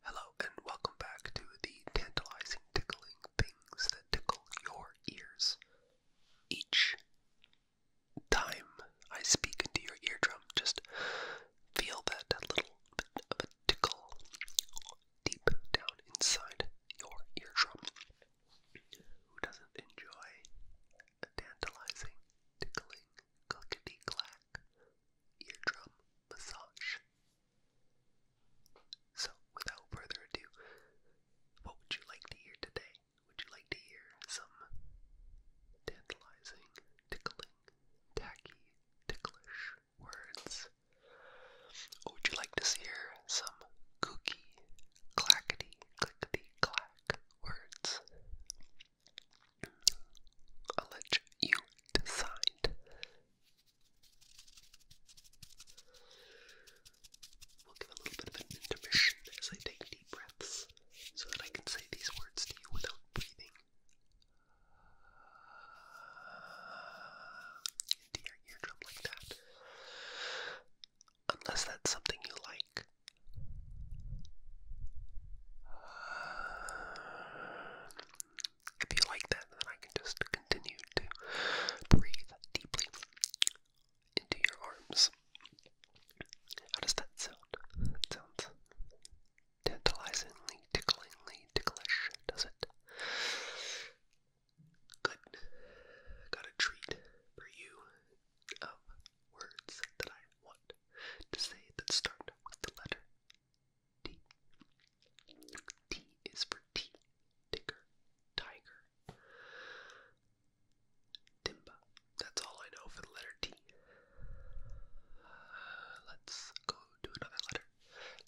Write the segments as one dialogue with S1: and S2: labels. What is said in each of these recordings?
S1: Hello, and welcome back to the tantalizing tickling things that tickle your ears. Each time I speak into your eardrum, just feel that little bit of a tickle deep down inside your eardrum. Who doesn't enjoy a tantalizing, tickling, clickety clack eardrum massage. So, without further ado, what would you like to hear today? Would you like to hear some tantalizing, tickling, tacky, ticklish words? would you like to hear some kooky, clackety, clickety, clack words? I'll let you decide. We'll give a little bit of an intermission as I take deep breaths so that I can say these words to you without breathing. Into your eardrum like that. Unless that's something you like. If you like that, then I can just continue to breathe deeply into your arms. How does that sound? It sounds tantalizingly, ticklingly, ticklish, does it? Good. Got a treat for you um, words that I want to say that start with the letter T. T is for tea, tiger. Timba. That's all I know for the letter T. Uh, let's go to another letter.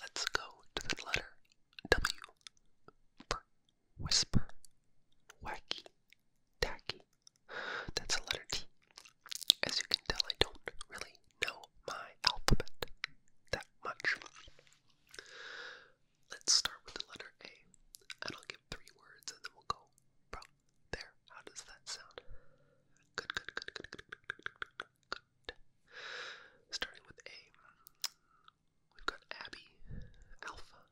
S1: Let's go to the letter W. For whisper, wacky, tacky, that's a letter T. As you can tell, I don't really know my alphabet that much. Let's start with the letter A, and I'll give three words and then we'll go from there. How does that sound? good, good, good, good, good, good. good. Starting with A, we've got Abby, Alpha,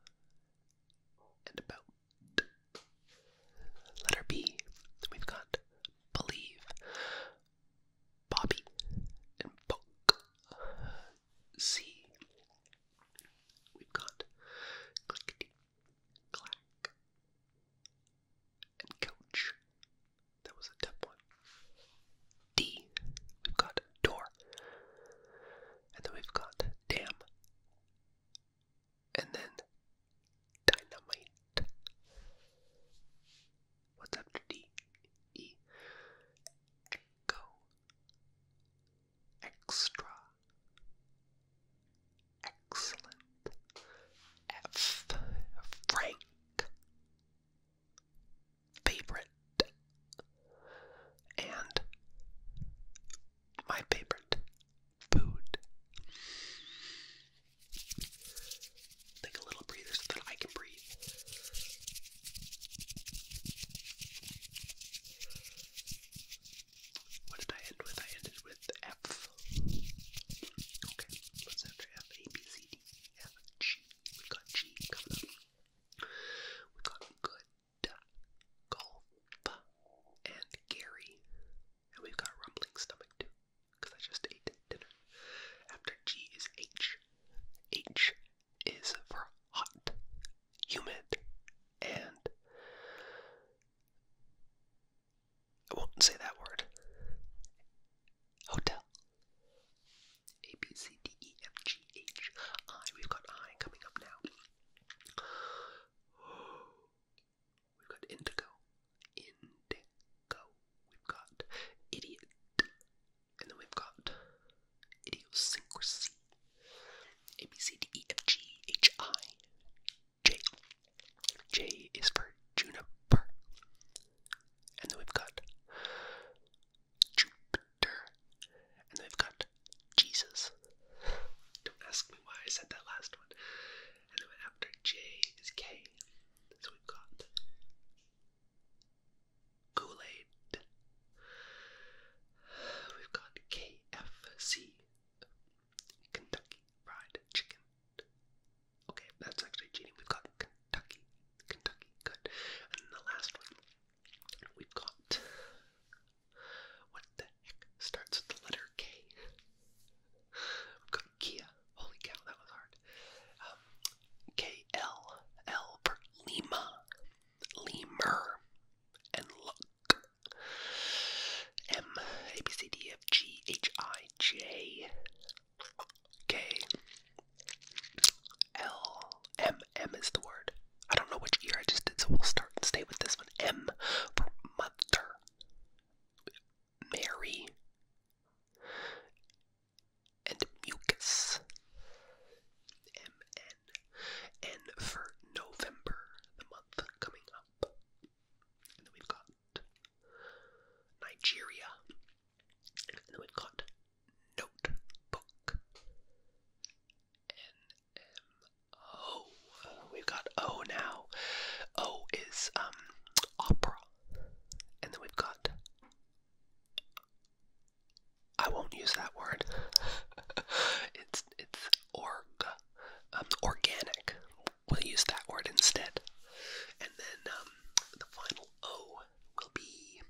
S1: and About. Letter B, we've got believe, Bobby, and C, we've got clickety, clack, and couch. That was a tough one. D, we've got door, and then we've got damn, and then dynamite. What's after D? E. Echo. Extra. Excellent. F. Frank. Favorite. And my favorite food. Take a little breather so that I can breathe. What did I end with? I ended with F. Okay, what's after F? A, B, C, D, F, G. We got G coming We got good. Golf and Gary. And we've got a rumbling stomach too, I just ate dinner. After G is H. H is for hot, humid, and I won't say that word. Hotel. A B C D E F G H I. We've got I coming up now. We've got indigo, indigo. We've got idiot, and then we've got idiosyncrasy. A B C D E F G H I J. J is for juniper, and then we've got character, and they've got Jesus. Don't ask me why I said that last one. And then after J is K, so we've got Kool Aid. We've got KFC, Kentucky Fried Chicken. Okay, that's actually cheating. We've got Kentucky, Kentucky, good. And the last one, we've got what the heck starts with the letter K? Kia. Holy cow, that was hard. Um, K L L Lima, Lemur, and Look. M A B C D F G H I J K L M M is the word. I don't know which year I just did, so we'll start and stay with this one. M for mother. Mary. And mucus. M N. N for November, the month coming up. And then we've got Nigeria. And then we've got notebook. NMO. We've got O now. O is um opera. And then we've got I won't use that word. it's it's org um organic. We'll use that word instead. And then um the final O will be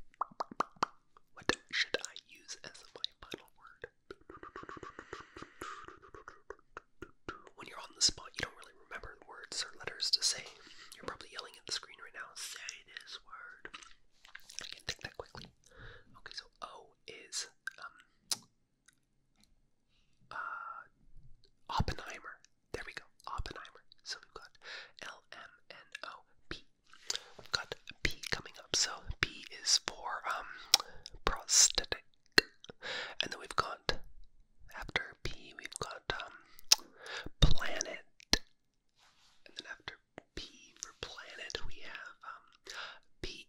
S1: what should I use as my final word? When you're on the spot, you don't really remember words or letters to say. You're probably yelling at the screen right now, say this word. I can think that quickly. Okay, so O is um, uh, Oppenheimer. There we go. Oppenheimer. So we've got L M N O P I've got P coming up, so P is for um, prosthetic. And then we've got, after P, we've got um, planet. And then after P for planet, we have um, P.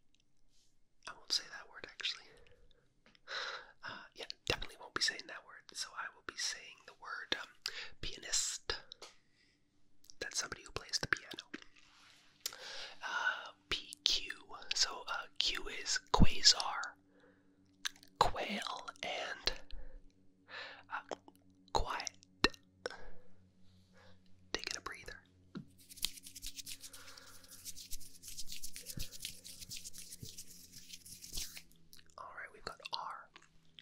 S1: I won't say that word actually. Uh, yeah, definitely won't be saying that word. So I will be saying the word pianist. That's somebody who plays the piano. Uh, PQ. So uh, Q is quasar, quail, and uh, quiet. Taking a breather. All right, we've got R.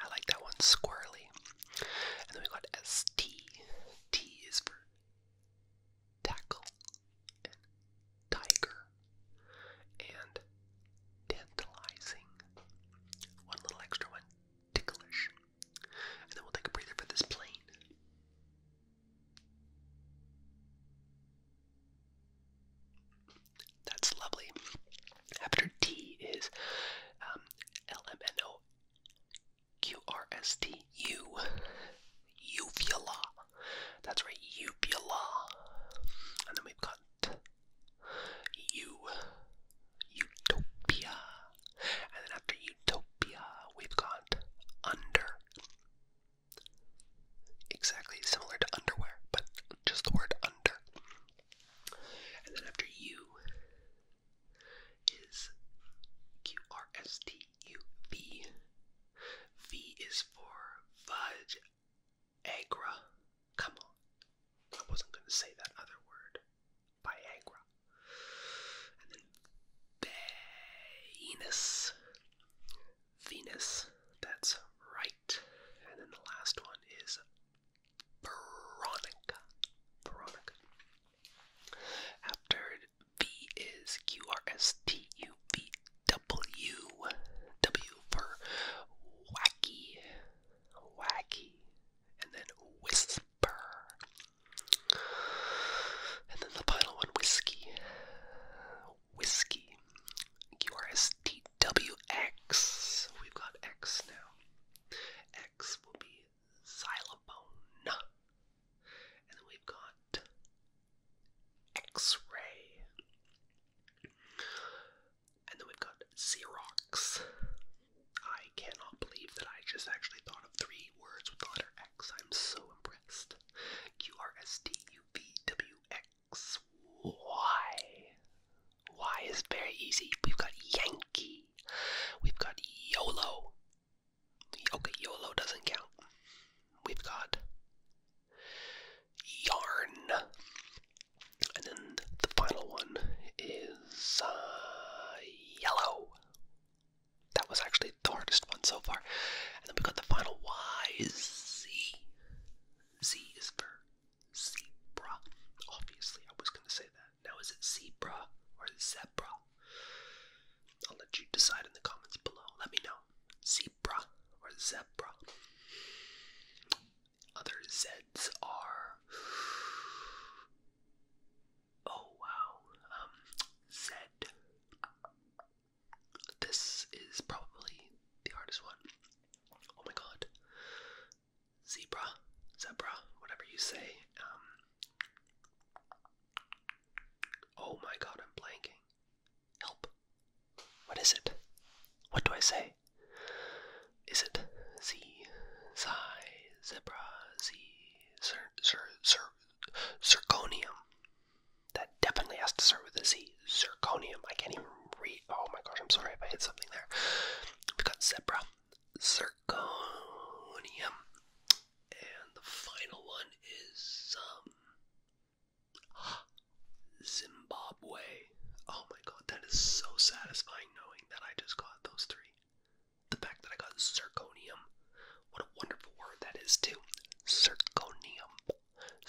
S1: I like that one, squirly. And then we got S T. T is for tackle tiger and tantalizing. One little extra one, ticklish. And then we'll take a breather for this plane. That's lovely. After T is um, L M N O Q R S T U. Uvula. That's right, uvula. And then we've got U. Utopia. And then after utopia, we've got under. Exactly similar to underwear, but just the word under. And then after U is Q R S T U V. V is for fudge. Agra. Come on. I wasn't going to say that other word. Viagra. And then Venus. Venus. That's right. And then the last one is Veronica. Veronica. After V is Q R S T U V W. W for wacky. Wacky. And then whisper. And then the final one, whiskey whiskey. QRSTWX. We've got X now. X will be xylophone. And then we've got X-ray. And then we've got Xerox. I cannot believe that I just actually thought of three words with the letter X. I'm so impressed. Q R S T U V W X. X, Y. Y is very easy. We've got Yankee. We've got YOLO. Okay, YOLO doesn't count. We've got yarn. And then the final one is uh, yellow. That was actually the hardest one so far. And then we have got the final Y is Z. Z is for zebra. Obviously, I was going to say that. Now, is it zebra or zebra? I'll let you decide in the comments below. Let me know. Zebra or zebra. Other Zs are. Oh wow. Um, Z. This is probably the hardest one. Oh my god. Zebra, zebra, whatever you say. Um, oh my god, I'm blanking. Help. What is it? What do I say? Is it Z, Zi, Zebra, Z, Zir, Zir, Zir, Zirconium? That definitely has to start with a Z. Zirconium. I can't even read. Oh my gosh, I'm sorry if I hit something there. We've got zebra. Zirconium. And the final one is um, Zimbabwe. Oh my god, that is so satisfying knowing that I just got those three. The fact that I got zirconium. What a wonderful word that is, too. Zirconium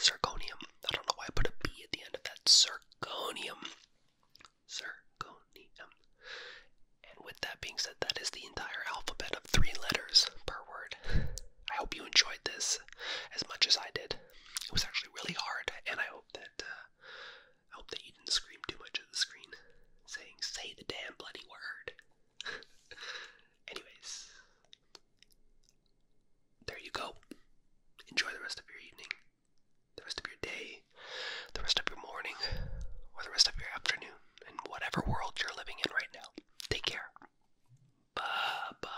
S1: zirconium. I don't know why I put a B at the end of that. Zirconium. Zirconium. And with that being said, that is the entire alphabet of three letters per word. I hope you enjoyed this as much as I did. It was actually really hard, and I hope that uh, I hope that you didn't scream too much at the screen, saying "Say the damn bloody word." Anyways, there you go. Enjoy the rest of your evening, the rest of your day, the rest of your morning, or the rest of your afternoon, in whatever world you're living in right now. Take care. Bye bye.